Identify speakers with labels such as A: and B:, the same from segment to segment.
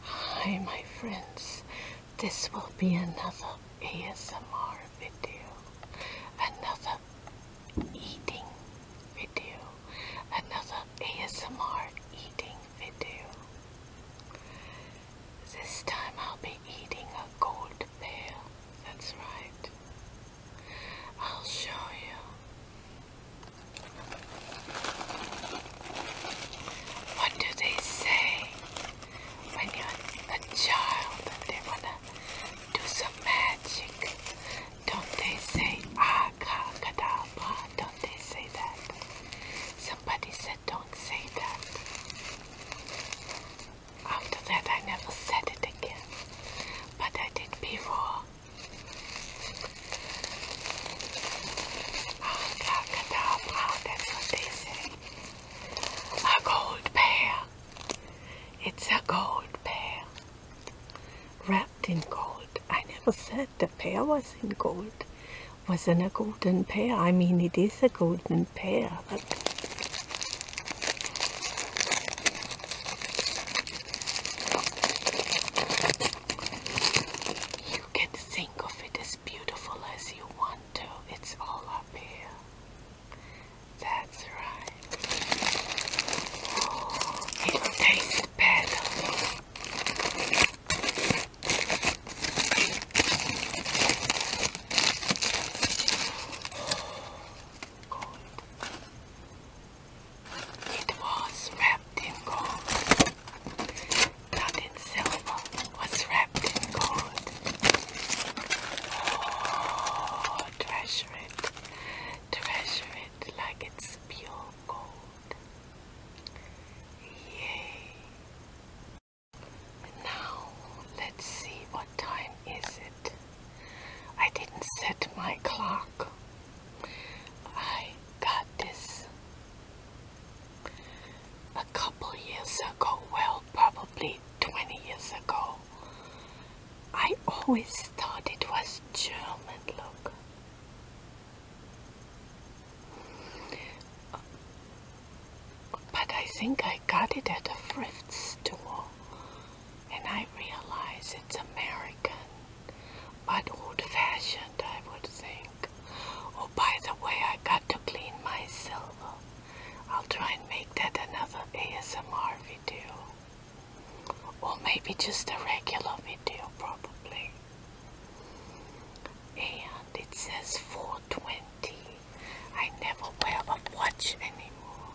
A: Hi my friends, this will be another ASMR video, another eating video, another ASMR eating video. This time I'll be eating a gold pail. that's right. I'll show you what do they say when you're a child and they wanna do some magic? Don't they say akakadaba? Ah, don't they say that? Somebody said don't say that. After that I never said it again. But I did before. A gold pear. It's a gold pear. Wrapped in gold. I never said the pear was in gold. Wasn't a golden pear. I mean, it is a golden pear, but you can think of it as beautiful as you want to. It's all up here. That's right. Oh, it tastes better. Good. It was wrapped in gold. Not in silver, was wrapped in gold. Oh, treasure it. Treasure it like it's pure gold. Yay. Now, let's see what time is it. I didn't set my clock. I got this a couple years ago, well, probably 20 years ago. I always thought it was German, look. But I think I got it at a thrift store and I realize it's American, but old-fashioned, I would think. Oh, by the way, I got to clean my silver. I'll try and make that another ASMR video. Or maybe just a regular video, probably. And it says 420. I never wear a watch anymore.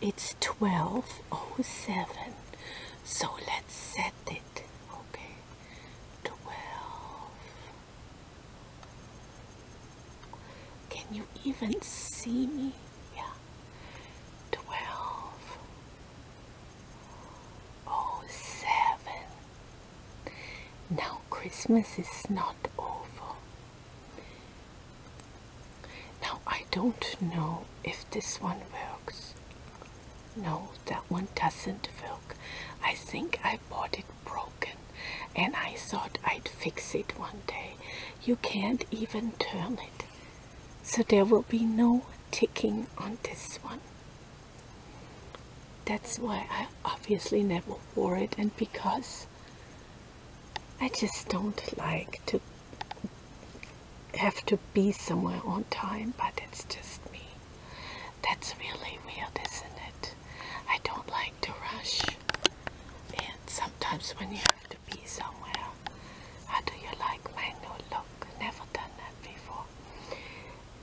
A: It's 12.07, so let's set it. Okay, 12. Can you even see me? Yeah, 12.07. Now Christmas is not over. Now I don't know if this one works. No, that one doesn't work. I think I bought it broken and I thought I'd fix it one day. You can't even turn it. So there will be no ticking on this one. That's why I obviously never wore it and because I just don't like to have to be somewhere on time, but it's just me. That's really weird, isn't it? I don't like to rush. And sometimes when you have to be somewhere, how do you like my new look? Never done that before.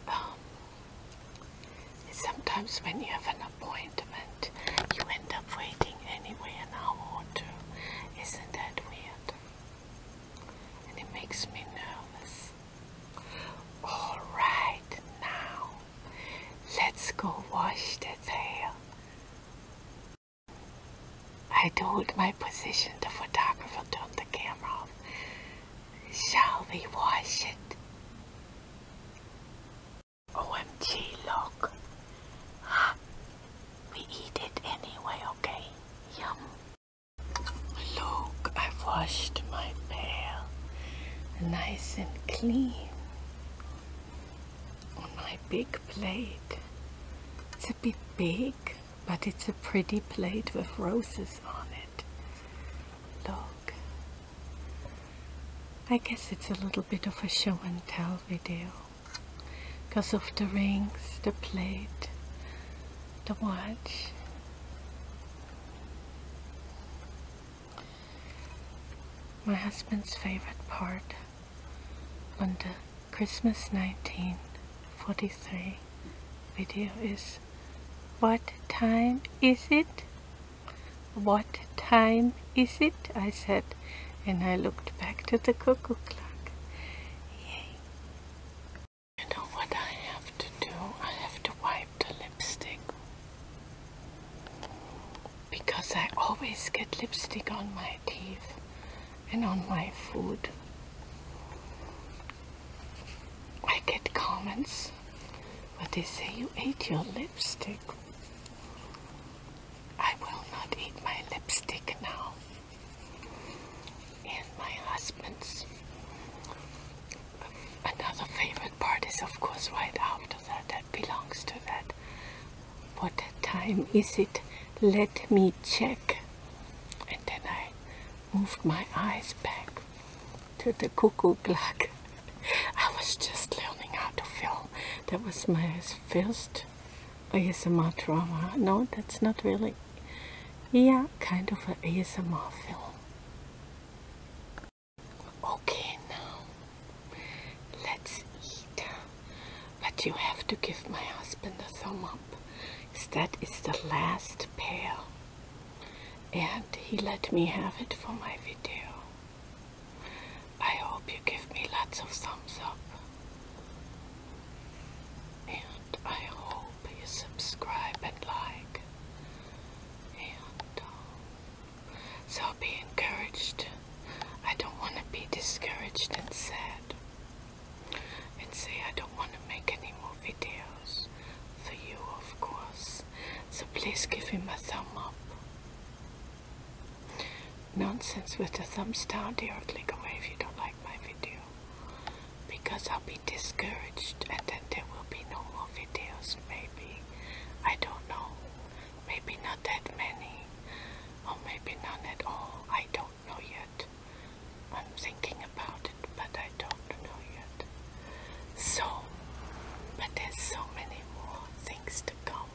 A: Um, sometimes when you have an appointment, you end up waiting anyway an hour or two isn't that weird? And it makes me nervous. All right, now let's go wash the hair. I told my position, the photographer turned the camera off. Shall we wash it? OMG, look. Ah, we eat it anyway, okay? Yum. Look, I've washed my pail nice and clean on my big plate. It's a bit big, but it's a pretty plate with roses on it. Look. I guess it's a little bit of a show and tell video because of the rings, the plate, the watch. My husband's favorite part on the Christmas 1943 video is What time is it? What time is it? I said, and I looked back to the cuckoo clock. Yay. You know what I have to do? I have to wipe the lipstick. Because I always get lipstick on my teeth and on my food. I get comments, but they say you ate your lipstick. I will not eat my lipstick now. And my husband's. Another favorite part is, of course, right after that. That belongs to that. What time is it? Let me check. And then I moved my eyes back to the cuckoo clock. I was just learning how to film. That was my first ASMR drama. No, that's not really. Yeah, kind of an ASMR film. Okay, now let's eat. But you have to give my husband a thumb up. That is the last pair. And he let me have it for my video. I hope you give me lots of thumbs up. And I hope you subscribe and like. And um, so be encouraged. I don't want to be discouraged and sad. And say I don't want to make any more videos for you, of course. So please give me a thumb up nonsense with the thumbs down there or click away if you don't like my video because I'll be discouraged and then there will be no more videos maybe I don't know maybe not that many or maybe none at all I don't know yet I'm thinking about it but I don't know yet so, but there's so many more things to come,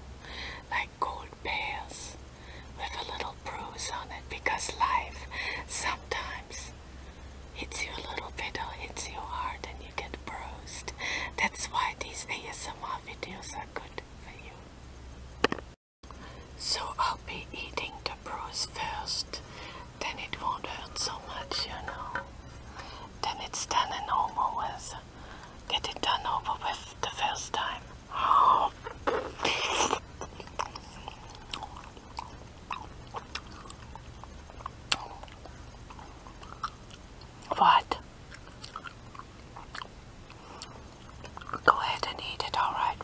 A: like gold pears with a little bruise on it, because life sometimes hits you a little bit or hits you hard and you get bruised. That's why these ASMR videos are good for you. So I'll be eating the bruise first, then it won't hurt so much, you know then it's done and over with. Get it done over with the first time. What? Go ahead and eat it, alright?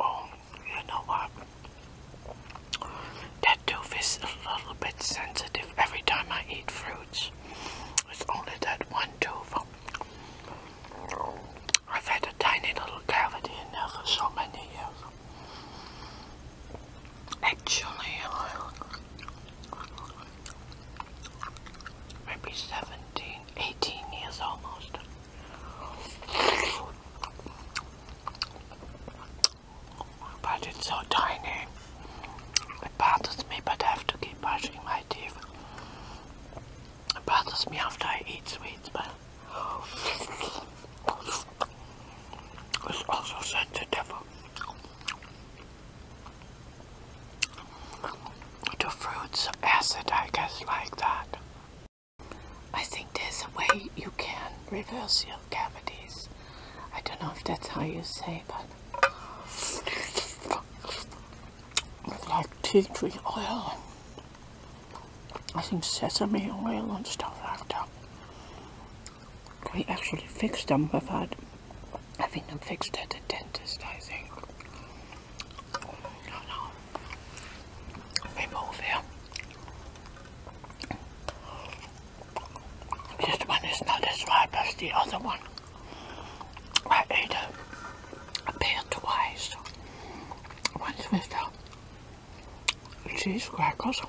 A: Oh, you know what? That tooth is a little bit sensitive every time I eat fruits. It's only that one tooth. I've had a tiny little cavity in there for so many years. Actually, uh, maybe 17 18 years almost. But it's so tiny. It bothers me, but I have to keep brushing my teeth. It bothers me after I eat sweets, but it's also sensitive to fruits acid, I guess, like that. I think there's a way you can reverse your cavities. I don't know if that's how you say, but with like tea tree oil, I think sesame oil and stuff after. We actually fixed them without having them fixed at the dentist, I think. Non, non. Mais This one is not as ripe as the other one. I ate a pear twice. Once with the cheese crackers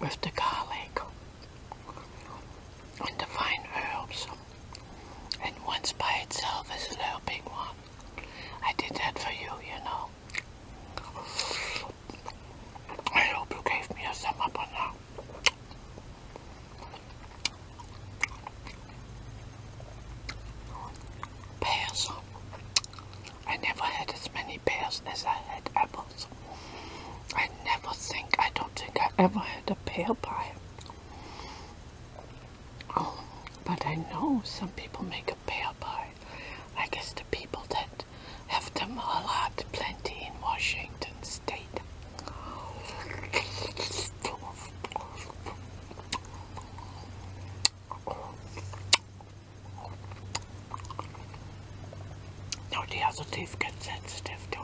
A: with the garlic and the fine herbs. And once by itself is a little big one. I did that for you, you know. I hope you gave me a thumb up on that. Pears. I never had as many pears as I had apples. I never think, I don't think I ever had a pear pie. Oh, but I know some people make a pear pie. I guess the people that have them a lot, plenty in Washington State. No, the other teeth get sensitive too.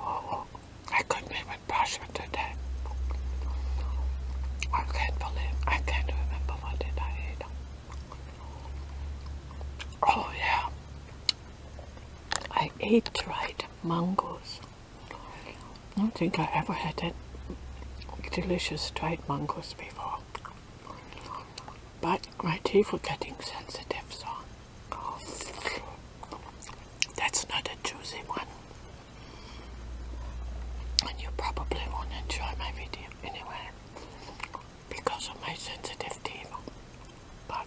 A: I couldn't even brush with it today. I can't believe, I can't remember what did I eat. Oh yeah, I ate dried mangoes. I don't think I ever had that delicious dried mangoes before but my teeth were getting sensitive, so that's not a juicy one. And you probably won't enjoy my video anyway because of my sensitive teeth, but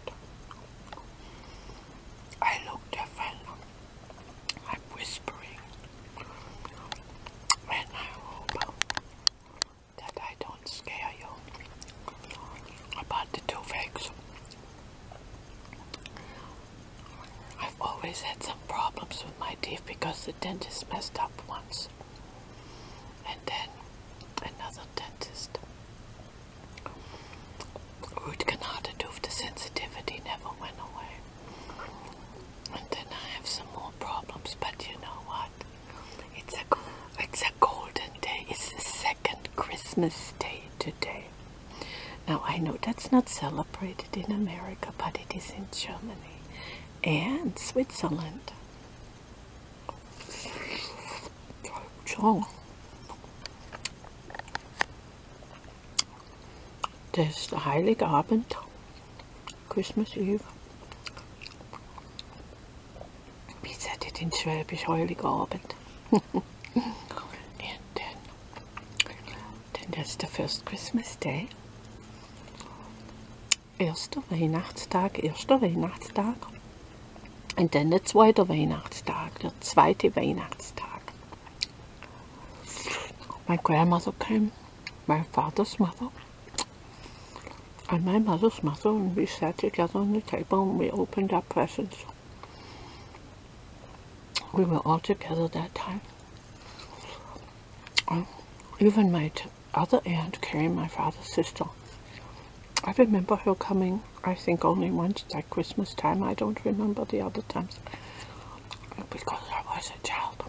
A: I look different. I'm whispering, and I hope that I don't scare you about the two I've always had some problems with my teeth because the dentist messed up once. And then another dentist. Root canal to tooth, the sensitivity never went away. And then I have some more problems, but you know what? It's a it's a golden day. It's the second Christmas day today. Now I know that's not celebrated in America, but it is in Germany and Switzerland. Das Heiligabend Christmas Eve. Wie seid ihr den Schwäbisch Heiligabend? and then, then that's the first Christmas Day. Erster Weihnachtstag, erster Weihnachtstag. Und dann der zweite Weihnachtstag, der zweite Weihnachtstag. My grandmother came, my father's mother. and my mother's mother, and we sat together on the table and we opened our presents. We were all together that time. Um, even my other aunt, carrying my father's sister, I remember her coming, I think only once, that Christmas time. I don't remember the other times because I was a child.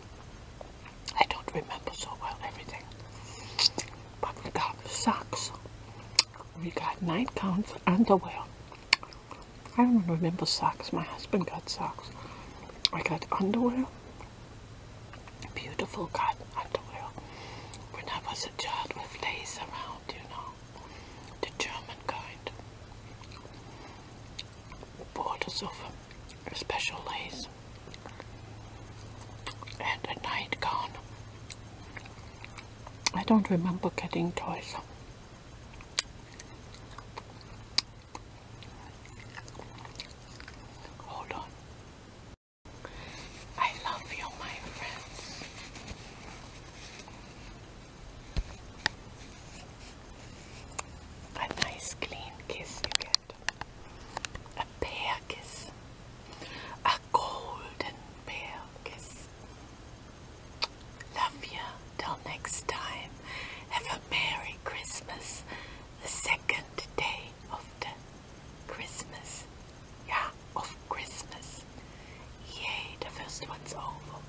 A: I don't remember so well everything. But we got socks. We got nine counts underwear. I don't remember socks. My husband got socks. I got underwear. Beautiful cotton underwear. When I was a child with lace around, you know. The German kind. Borders of special lace and a night gown. I don't remember getting toys. Hold on. I love you, my friends. A nice clean kiss a Perkis. A golden Perkis. Love you. Till next time. Have a Merry Christmas. The second day of the Christmas. Yeah, of Christmas. Yay, the first one's over.